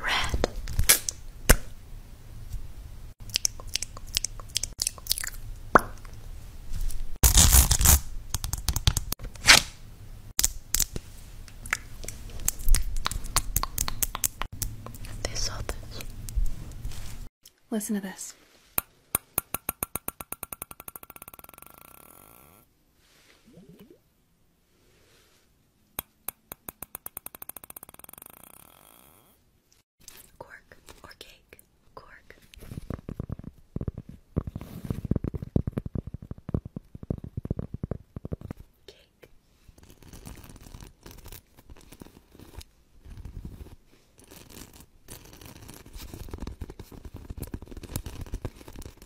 Red. They saw this. Listen to this. Cork or cake, cork. Cake.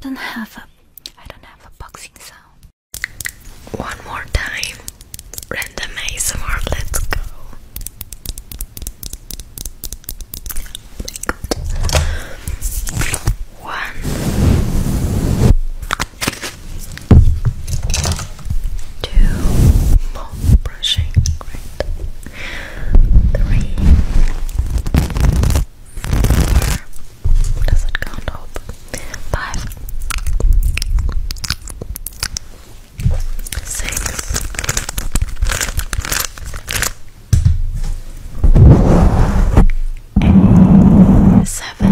Don't have a I don't have a boxing sound. One more time. Random ASMR, let's go. Oh One Two more brushing, great. Three, four. Does it count? Hope. Five, six. Seven, seven.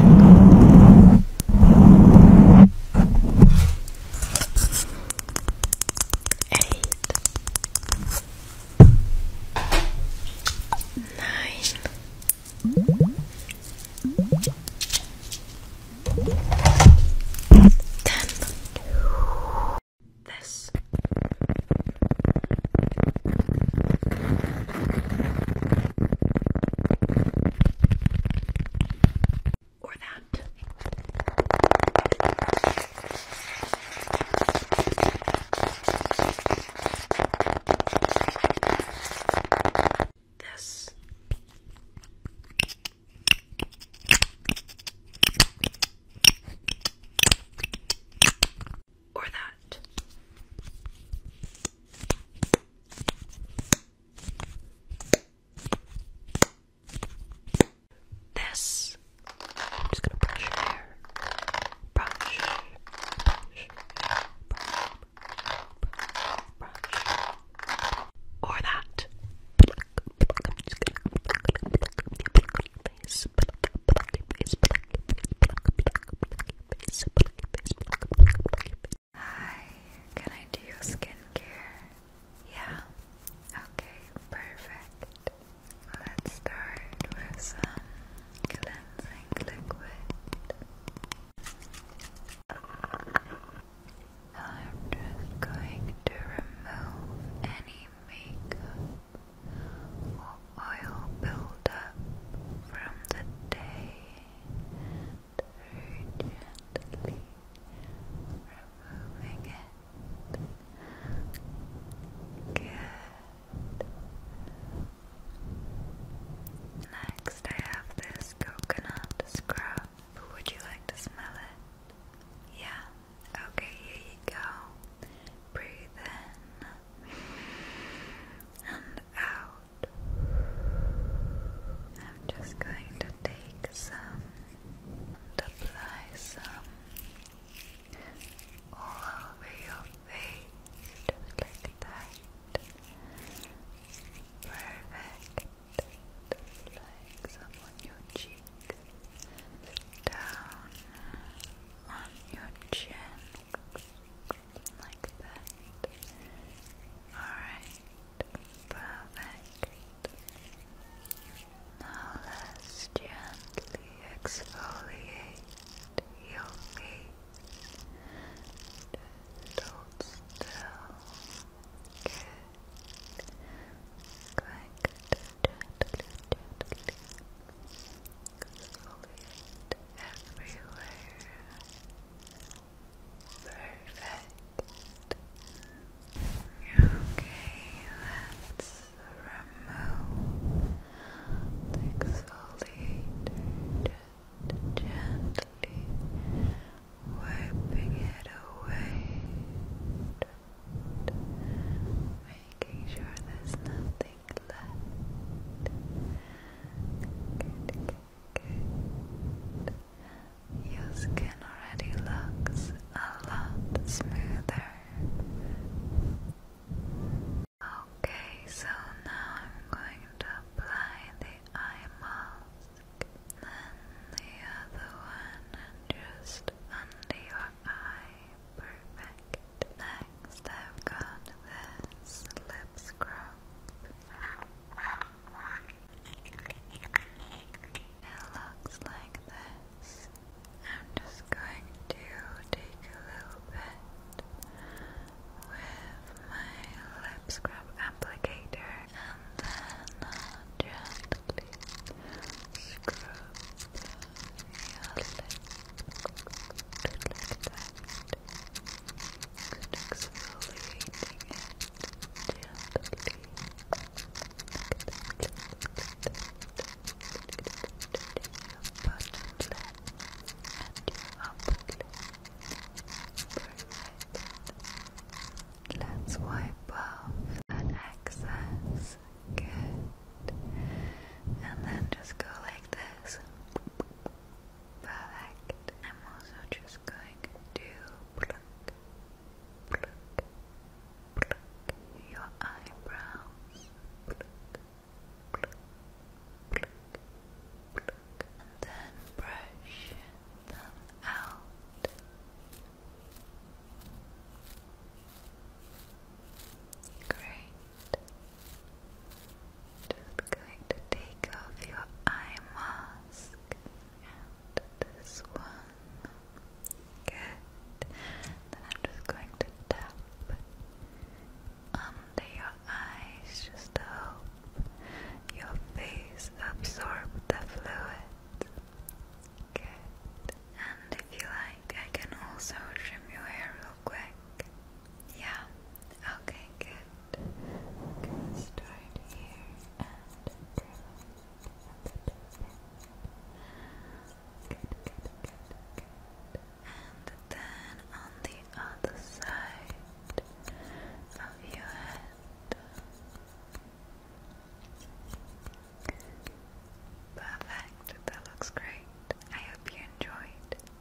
Eight. Nine. Ten. This. Or that. This. Or that. This. I'm just gonna brush your hair. Brush, brush, brush, brush, brush. Or that. Hi, can I do your skincare? Yeah. Okay, perfect. Let's start with some cleansing liquid. I'm just going to remove any makeup or oil buildup from the day very gently removing it. Good. Next, I have this coconut scrub. Would you like to smell it? Yeah. Okay, here you go. Breathe in and out. I'm just going to take some apply some all over your face, just like that. Perfect. Like some on your cheeks, down on your chin like that. Alright, perfect. Now let's gently exfoliate your face. Just hold still. Good. gently, exfoliate everywhere. Perfect. Okay, let's remove the exfoliator, just gently wiping it away, making sure there's nothing left. Good. Your skin already looks a lot smoother. Okay, so now I'm going to apply the eye mask, then the other one, just under your eye. Perfect. Next, I've got this lip scrub. It looks like this. I'm just going to take a little bit with my lip scrub applicator and then i gently scrub your lip like that. Good exfoliating it gently. Your bottom lip and your upper lip. Perfect. Let's wipe off that excess. Good. And then just go like this. Perfect. I'm also just going to pluck, pluck, pluck your eyebrows. Pluck, pluck, pluck, pluck. And then brush them out. Great. Just going to take off your eye mask and this one. Good. Then I'm just going to tap under your eyes just to help your face absorb the fluid. Good. And if you like, I can also trim your hair real quick. Yeah. Okay, good start here And then on the other side of your head. Perfect, that looks great. I hope you enjoyed.